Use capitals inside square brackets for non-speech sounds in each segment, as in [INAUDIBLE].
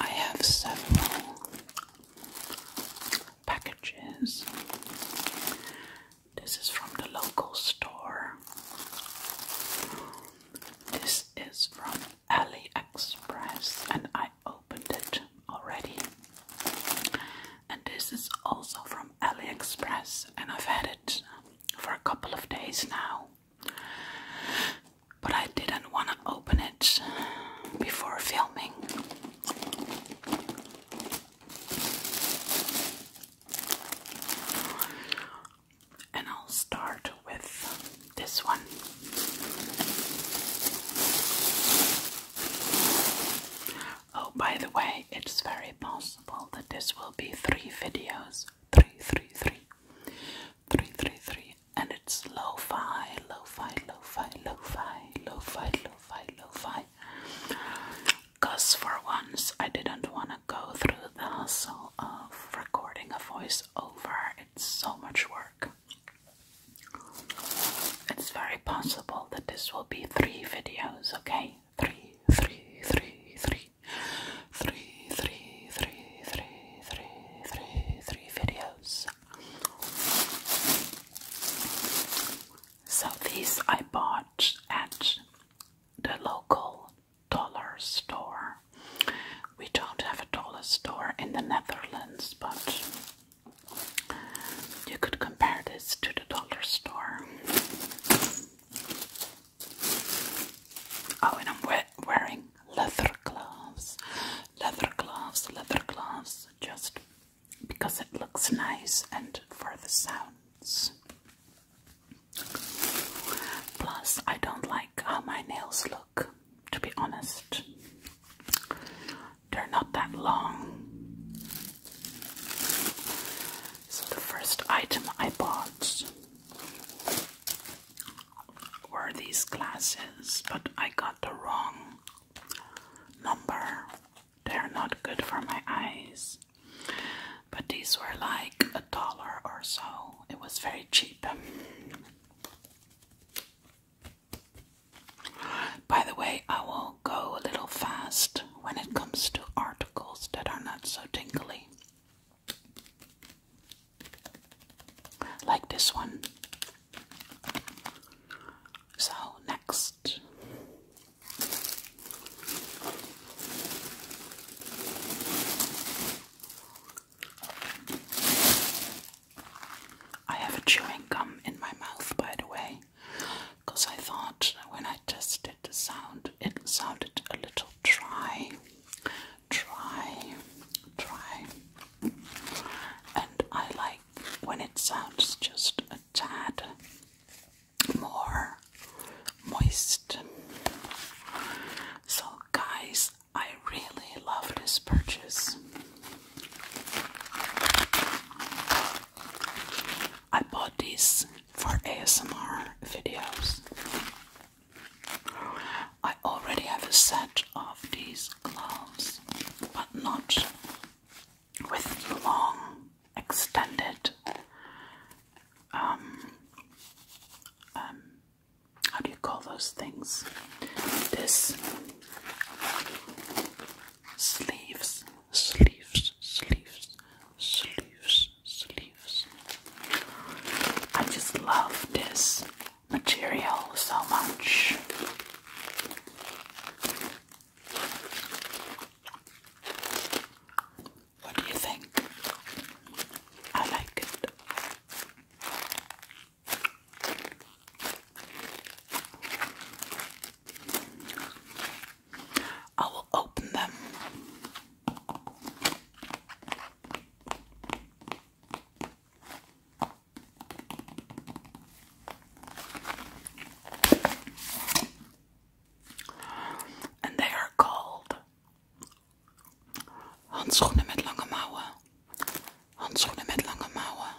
I have several packages. This is from the local store. This is from AliExpress, and I opened it already. And this is also from AliExpress, and I've had it for a couple of days now but I didn't want to open it before filming. And I'll start with this one. Oh, by the way, it's very possible that this will be three videos. Three, three, three. 333 and it's lo-fi, lo-fi, lo-fi, lo-fi, lo-fi, lo-fi, lo-fi. Cause for once I didn't want to go through the hustle of recording a voiceover. It's so much work. It's very possible that this will be three videos, okay? Three, three, three, three, three, three, three, three, three, three, three videos. So these I bought at the local dollar store. We don't have a dollar store in the Netherlands, but you could compare this to the dollar store. Oh, and I'm we wearing leather gloves, leather gloves, leather gloves, just because it looks nice and for the sounds. Plus, I don't like how my nails look, to be honest. They're not that long. So, the first item I bought were these glasses, but I got the wrong number. They're not good for my eyes. But these were like a dollar or so. It was very cheap. By the way, I will go a little fast when it comes to articles that are not so tingly like this one. So, next. I have a chewing gum in my mouth, by the way, because I thought when I tested the sound, it sounded a little dry try, try. And I like when it sounds just a tad more moist. So, guys, I really love this purchase. I bought this for ASMR videos. I already have a set of these gloves, but not with long, extended, um, um how do you call those things? This sleeves, sleeves, sleeves, sleeves, sleeves. I just love this material so much. What do you think? I like it. I will open them. And they are called handschoenen met lange mouwen. Handschoenen met lange mouwen.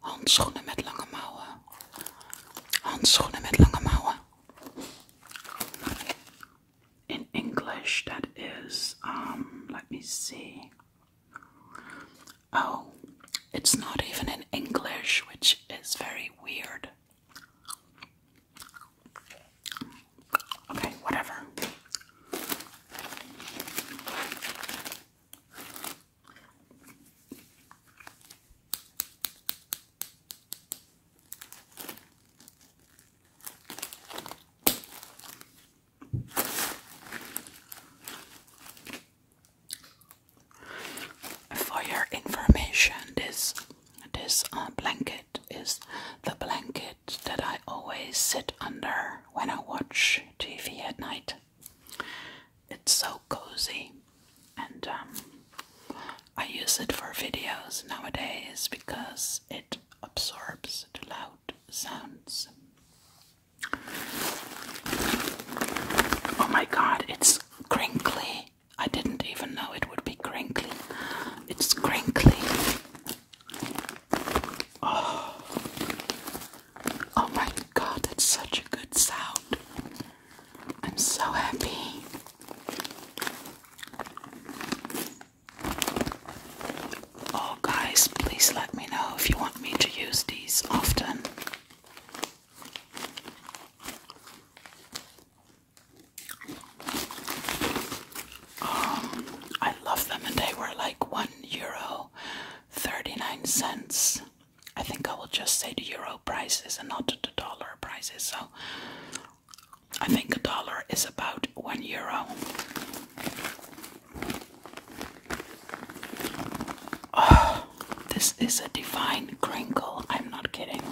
Handschoenen met lange mouwen. Handschoenen met lange mouwen. in English that is um, let me see oh it's not even in English which is very weird okay whatever for your information, this this uh, blanket is the blanket that I always sit under when I watch TV at night. It's so cozy, and um, I use it for videos nowadays because it absorbs the loud sounds. Oh my god, it's crinkly. I didn't even know it would be crinkly. It's crinkly. Oh, oh my god, it's such a good sound. I'm so happy. Oh, guys, please let me know if you want me to use these often. Um, I love them, and they were like one euro thirty nine cents. I think I will just say the euro prices and not the dollar prices. So I think a dollar is about one euro. Oh, this is a divine crinkle, I'm not kidding.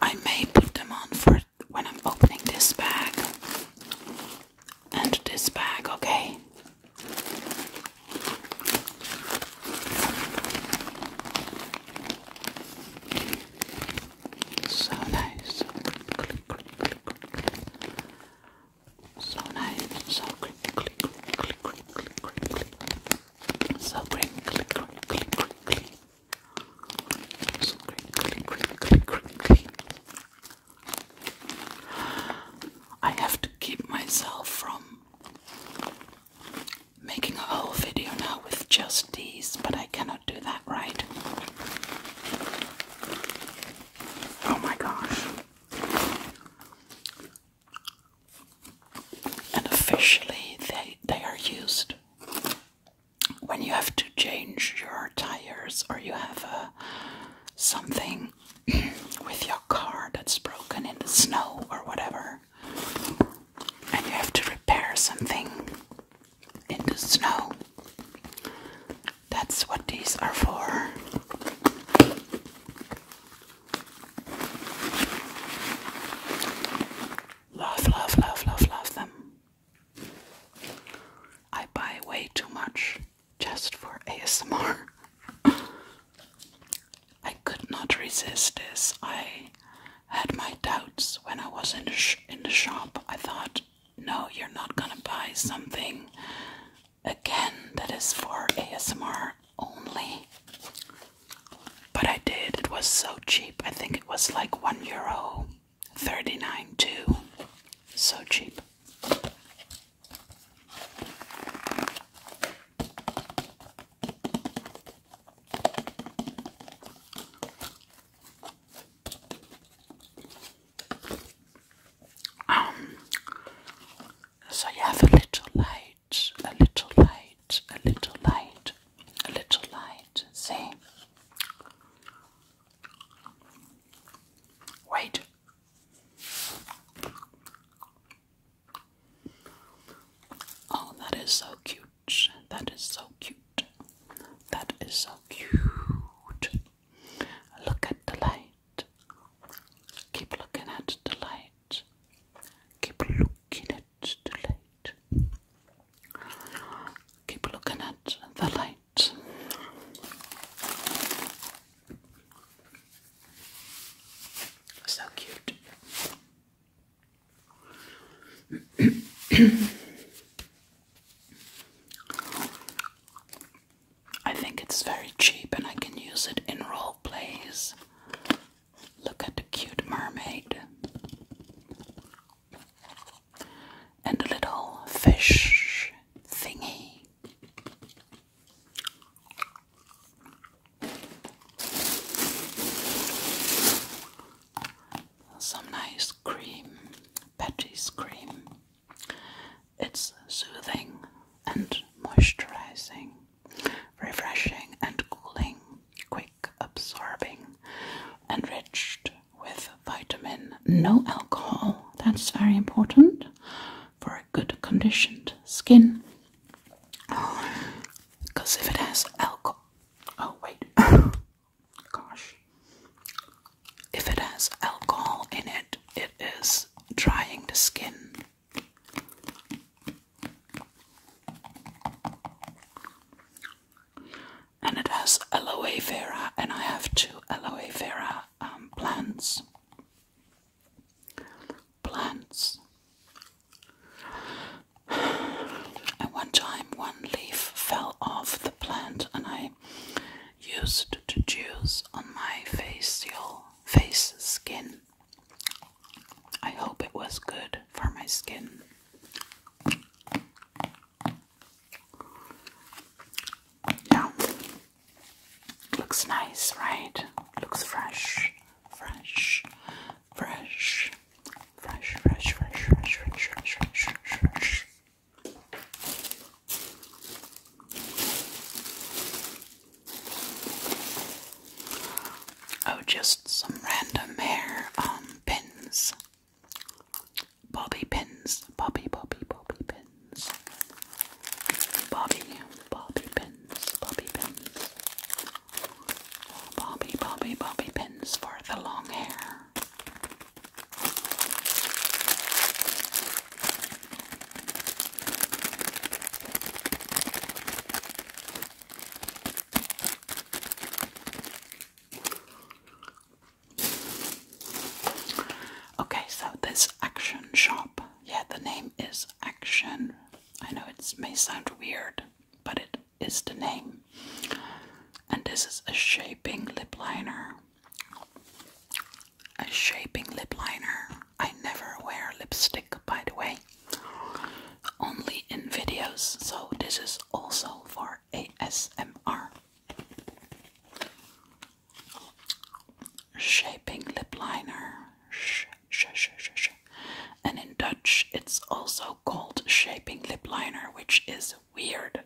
I may put them on for when I'm opening this bag and this bag, okay? So nice. Click, click, click, click. So nice. So click, click, click, click, click, click, click. So click, click, click, click, click, So click, click, click, click, click. I have to keep myself from making a whole video now with just these, but I cannot do that right. Oh my gosh. And officially they they are used when you have to change your tires or you have a uh, something with your car that's broken in the snow or whatever, and you have to repair something in the snow, that's what these are for. Love, love, love, love, love them. I buy way too much just for ASMR. [LAUGHS] I could not resist this. I had my doubts when I was in the in the shop. I thought, no, you're not gonna buy something again that is for ASMR only. But I did. It was so cheap. I think it was like one euro thirty nine too. So cheap. Um, so you have a little light, a little light, a little light, a little light. See? Wait. Oh, that is so cute. That is so cute. That is so cute. Look at the light. Keep looking at the light. Keep looking at the light. Keep looking at the light out. So cute. I think it's very cheap and I can use it in role plays. Look at the cute mermaid and the little fish thingy. Some nice cream, Patty's cream. It's soothing and moisturizing, refreshing and cooling, quick absorbing, enriched with vitamin, no alcohol. That's very important for a good conditioned skin. Because if it has alcohol, oh wait, [COUGHS] gosh, if it has alcohol in it, it is drying the skin and it has aloe vera, and I have two aloe vera um, plants. Plants. And one time, one leaf fell off the plant, and I used to juice on my facial face skin. I hope it was good for my skin. Yeah. Looks nice, right? Looks fresh, fresh, fresh, fresh, fresh, fresh, fresh, fresh, fresh, Oh, just some random hair um pins. Bobby pins. Bobby, Bobby, Bobby pins. Bobby, Bobby pins. Bobby pins. Bobby, Bobby, Bobby pins for the long hair. Okay, so this Action Shop. Yeah, the name is Action. I know it may sound weird, but it is the name. And this is a shaping lip liner. A shaping lip liner. I never wear lipstick, by the way, only in videos. So, this is also for ASMR. Shaping lip liner. Sh, sh, sh, sh, sh. And in Dutch, it's also called shaping lip liner, which is weird.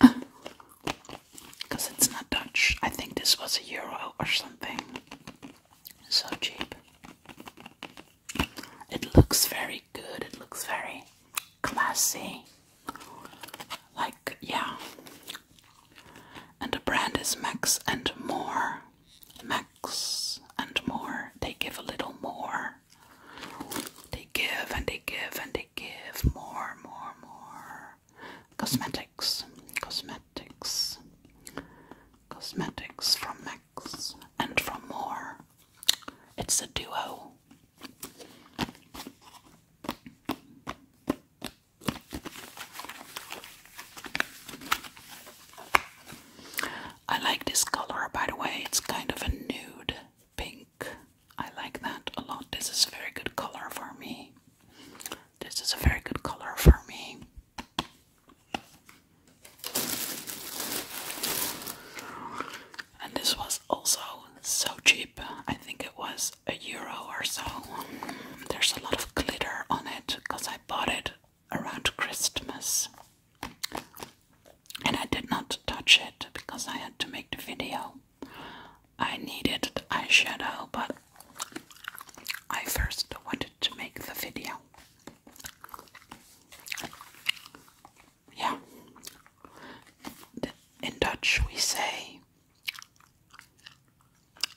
Because [LAUGHS] it's not Dutch. I think this was a euro or something. So cheap. It looks very good, it looks very classy. Like, yeah. And the brand is Max and More. Max and More. They give a little more. They give and they give and they give more, more, more. Cosmetics. Cosmetics. Cosmetics from Max and from More. It's a duo. I like this color, by the way. It's kind of a nude pink. I like that a lot. This is a very good color for me. This is a very good color for me and this was also so cheap. I think it was a euro or so. There's a lot of glitter on it because I bought it around Christmas. And I did not touch it because I had to make the video. I needed the eyeshadow, but I first wanted to make the video. In Dutch we say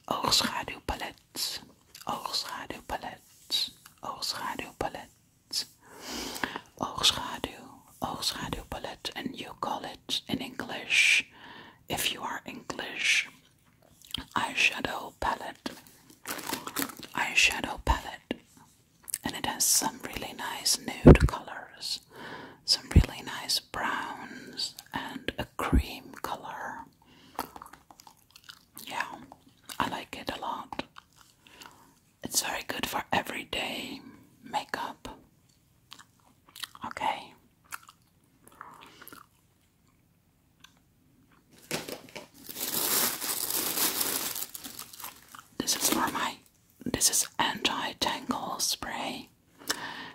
oogschaduwpalet, oogschaduwpalet, oogschaduwpalet, oogschaduw, oogschaduwpalet and you call it in English, if you are English, eyeshadow palette, eyeshadow palette, and it has some really nice nude colors, some really nice browns, and a cream color. Yeah, I like it a lot. It's very good for everyday makeup. Okay. This is for my this is anti-tangle spray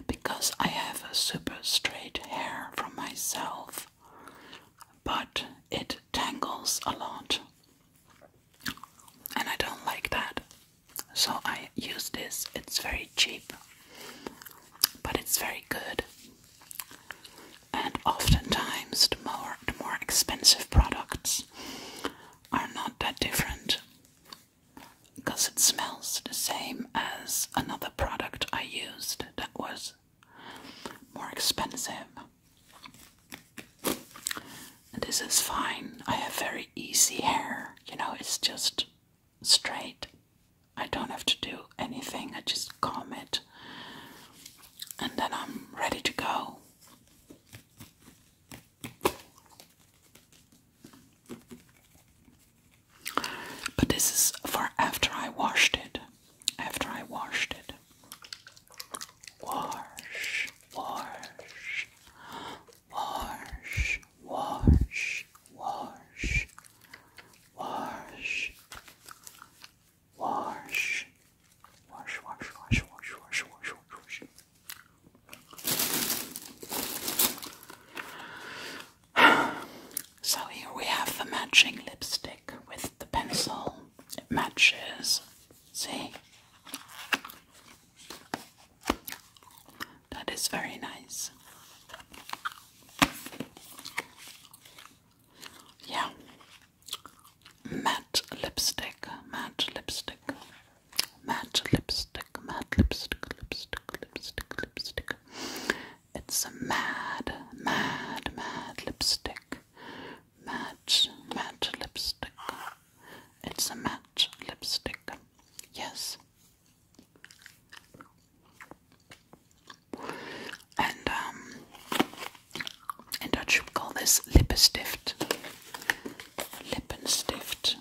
because I have super straight hair from myself, but it tangles a lot, and I don't like that. So I use this, it's very cheap, but it's very good. And oftentimes, the more, the more expensive products are not that different because it smells the same as another product I used that was more expensive. this is fine. I have very easy hair, you know, it's just straight. I don't have to do anything, I just comb it and then I'm ready to go. But this is for after I washed it. After I washed it. Wash, wash, wash, wash, wash, wash, wash, wash, wash, wash, wash, wash, wash, wash, wash. So here we have the matching lipstick with the pencil. It matches. See? That is very nice. Yeah, matte lipstick, matte lipstick, matte lipstick, matte lipstick, lipstick, lipstick, lipstick. It's a mad, mad, mad lipstick. Matte, matte lipstick. It's a matte lipstick. Yes. And um in Dutch we call this lippenstift. Lippenstift.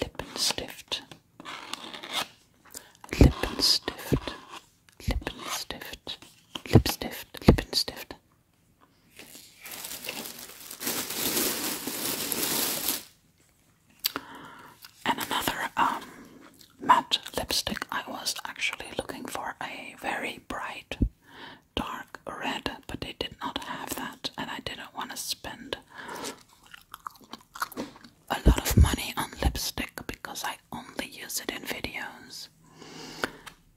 Lippenstift. Lippenstift. Lippenstift. Lipstift. Lippenstift. And another um, matte lipstick. I was actually looking for a very bright dark red, but they did not have that, and I didn't want to spend a lot of money on lipstick because I only use it in videos.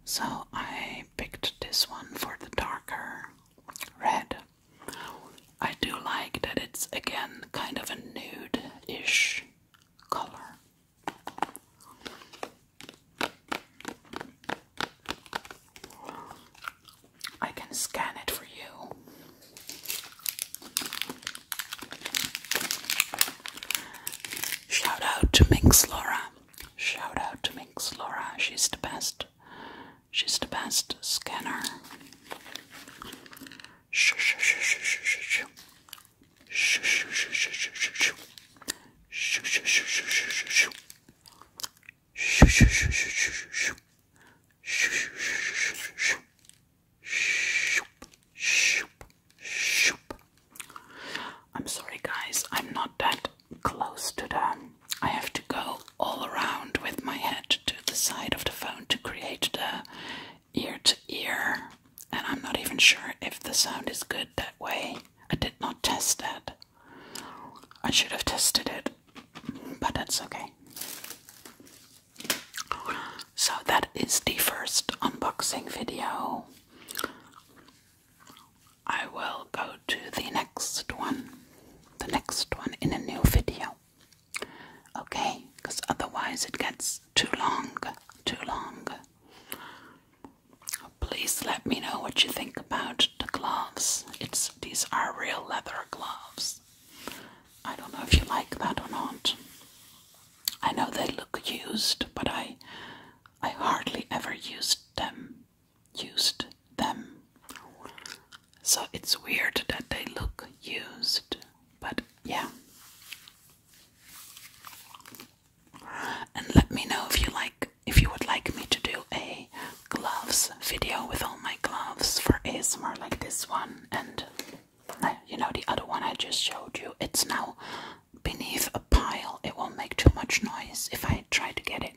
So I picked this one for the darker red. I do like that it's again kind of a nude ish color. I can scan it for you. Shout out to Minx Laura. Shout out to Minx Laura. She's the best. She's the best scanner. Shh, shh, shh, shh, shh, shh. I'm sorry, guys, I'm not that close to them. I have to go all around with my head to the side of the phone to create the ear to ear, and I'm not even sure if the sound is good that way. I did not test that. I should have tested it, but that's okay. So, that is the first unboxing video. I will go to the next one, the next one in a new video. Okay, because otherwise it gets too long, too long. Please let me know what you think about the gloves. It's these are real leather gloves. I don't know if you like that or not. I know they look used, but I I hardly ever used them. Used them. So it's weird that they look used, but yeah. And let me know if you like if you would like me to do a gloves video with all my gloves for ASMR like this one and uh, you know the other one I just showed you. It's now beneath a pile. It won't make too much noise if I try to get it.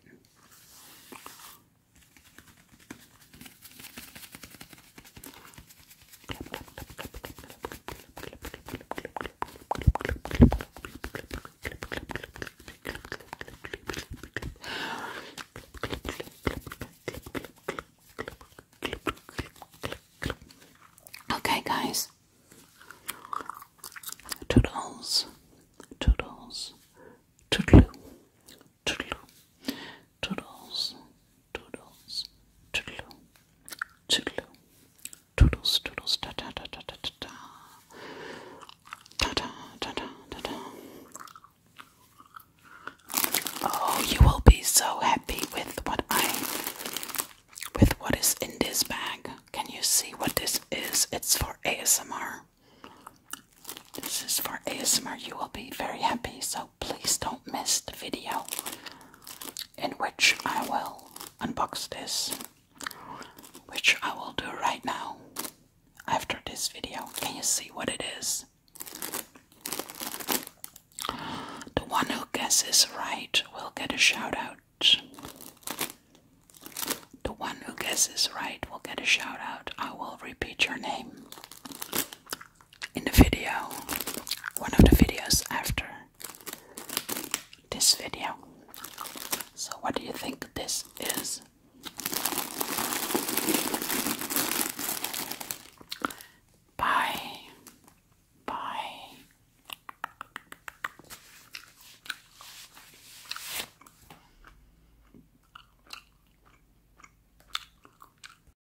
Okay, guys. Toodles, toodles, toodaloo, toodaloo, toodles, toodles, toodaloo, toodaloo, toodles, toodles, ta ta ta ta ta ta ta, ta ta ta ta ta ta. Oh, you will be so happy with what I, with what is in this bag. Can you see what this is? It's for ASMR. This is for ASMR. You will be very happy. So please don't miss the video in which I will unbox this, which I will do right now after this video. Can you see what it is? The one who guesses right will get a shout out. The one who guesses right will get a shout out. I will repeat your name in the video, one of the videos after this video. So, what do you think this is? Bye. Bye.